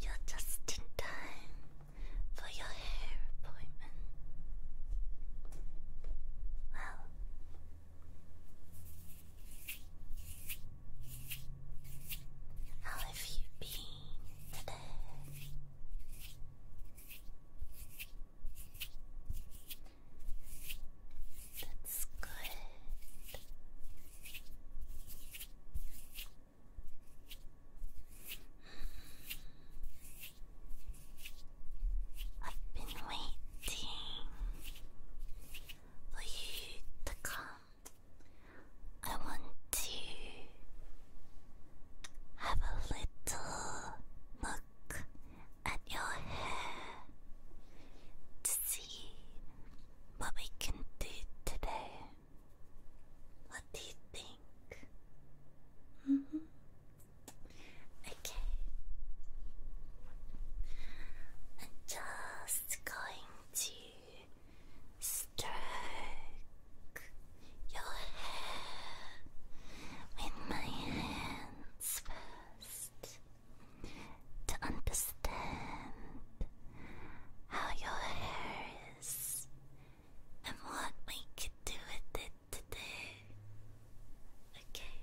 You're just in time for your hair appointment. Well, how have you been today? That's good. I've been waiting for you to come. I want to have a little look at your hair to see what we can do today. What do you think? Mm-hmm. Okay. I'm just going to stroke your hair with my hands first to understand how your hair is and what we could do with it today. Okay.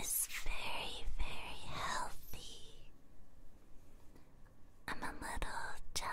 is very, very healthy. I'm a little jealous.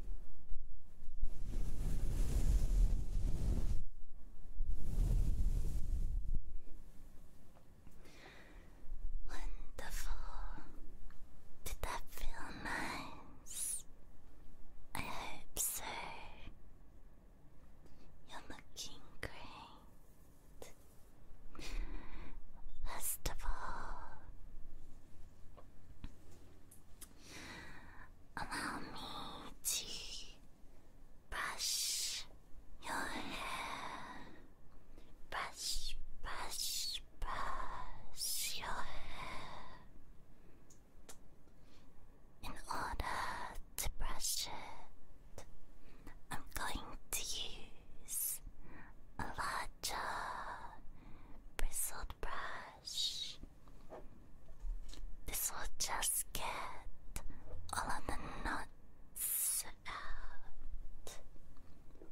Wonderful. Did that feel nice? I hope so. You're looking great. First of all, Allow me to brush your hair. Brush, brush, brush your hair. In order to brush it, I'm going to use a lot Gotcha. Bristled brush. This will just get all of the nuts out.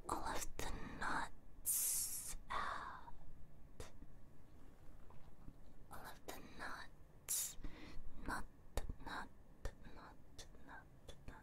All of the nuts out. All of the nuts. Not, not, not, not,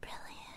Brilliant.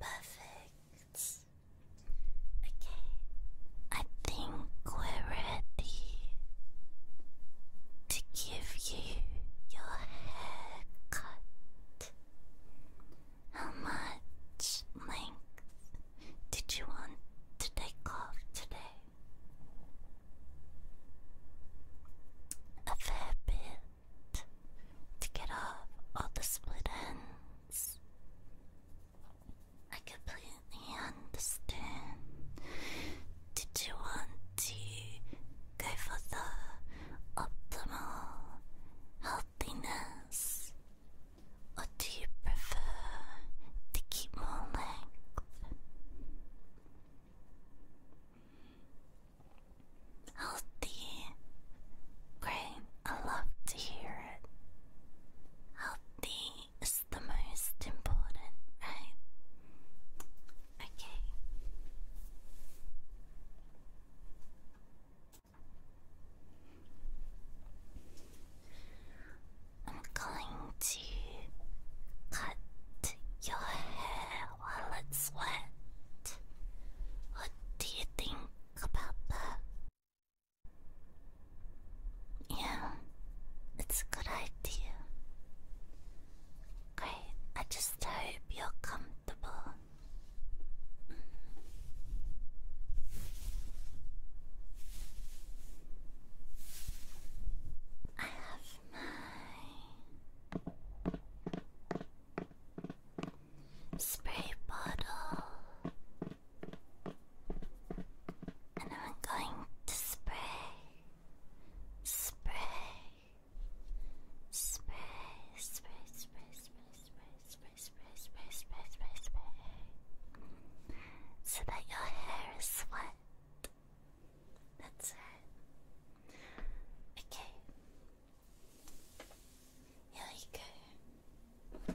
Perfect. Okay, I think we're ready to give you your haircut. How much length did you want to take off today? A fair bit to get off all the split ends. I completely understand. Did you want to go for the optimal healthiness or do you prefer to keep more length? Healthy. Great, I love to hear it. Healthy is the most important, right? Okay. I'm going to cut your hair while it's wet. What do you think about that? Yeah, it's a good idea. Great, I just hope you're comfortable. I have my spray bottle, and I'm going to spray, spray, spray, spray, spray, spray, spray spray, spray, spray, spray, spray, spray, so that your hair is wet. That's it. Okay. Here we go.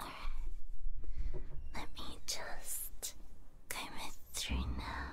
Alright. Let me just comb it through now.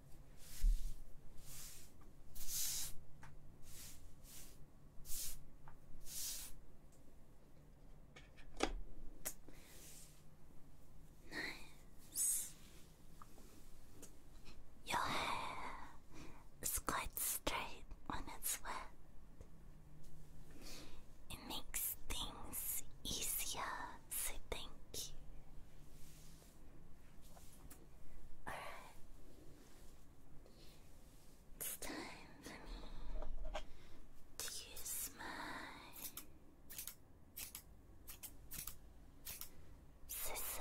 Nice. Your hair is quite straight when it's wet. It makes things easier, so thank you. Alright. It's time for me to use my scissors. Scissors.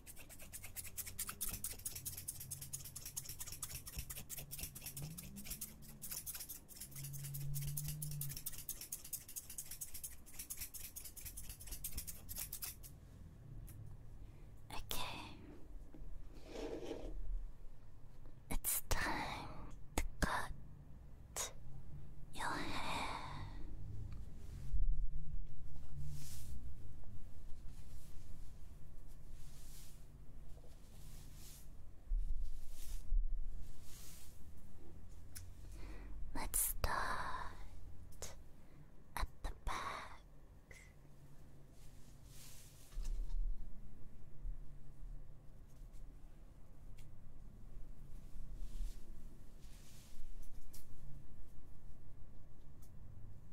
Okay, it's time to cut your hair. Let's start at the back.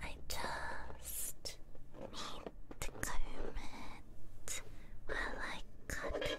I just need to comb it while I cut it.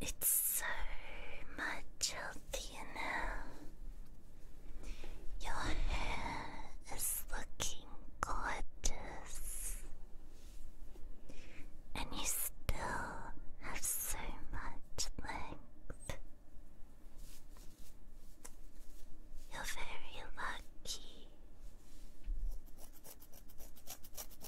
It's so much healthier now. Your hair is looking gorgeous, and you still have so much length. You're very lucky.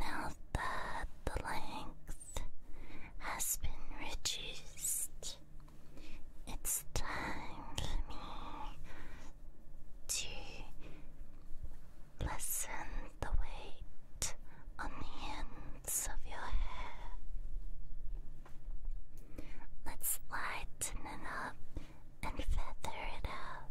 Now that the length has been reduced, it's time for me to lessen the weight on the ends of your hair. Let's lighten up and feather it out.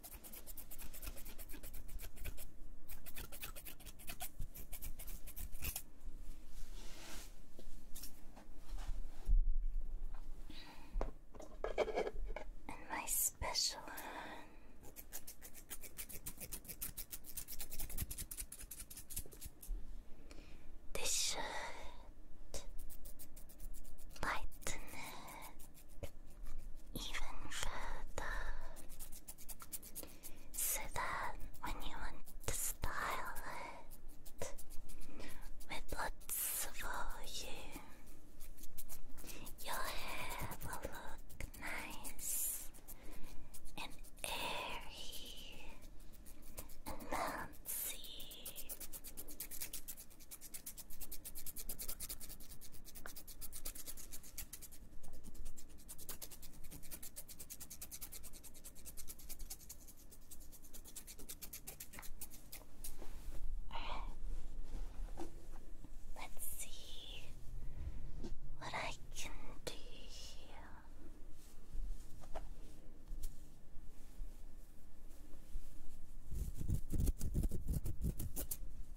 And my special hand. This should even further so that when you want to style it with lots of volume, your hair will look nice and airy and bouncy. Let's see what I can do here.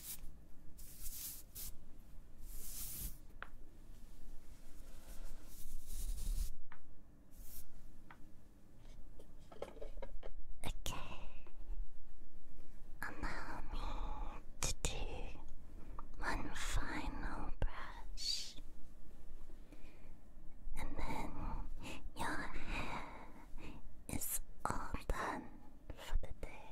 Okay. Allow me to do one final brush. And then your hair is all done for the day.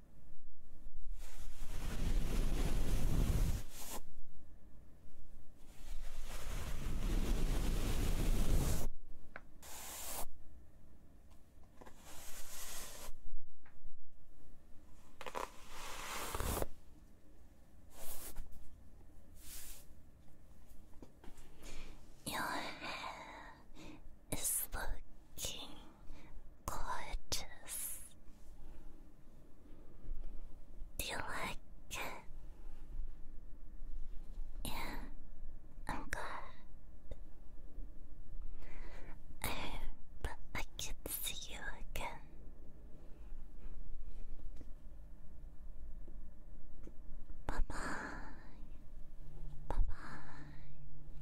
Your hair is looking gorgeous. Do you like it? Yeah, I'm glad. I hope I can see you again. Bye bye. Bye bye.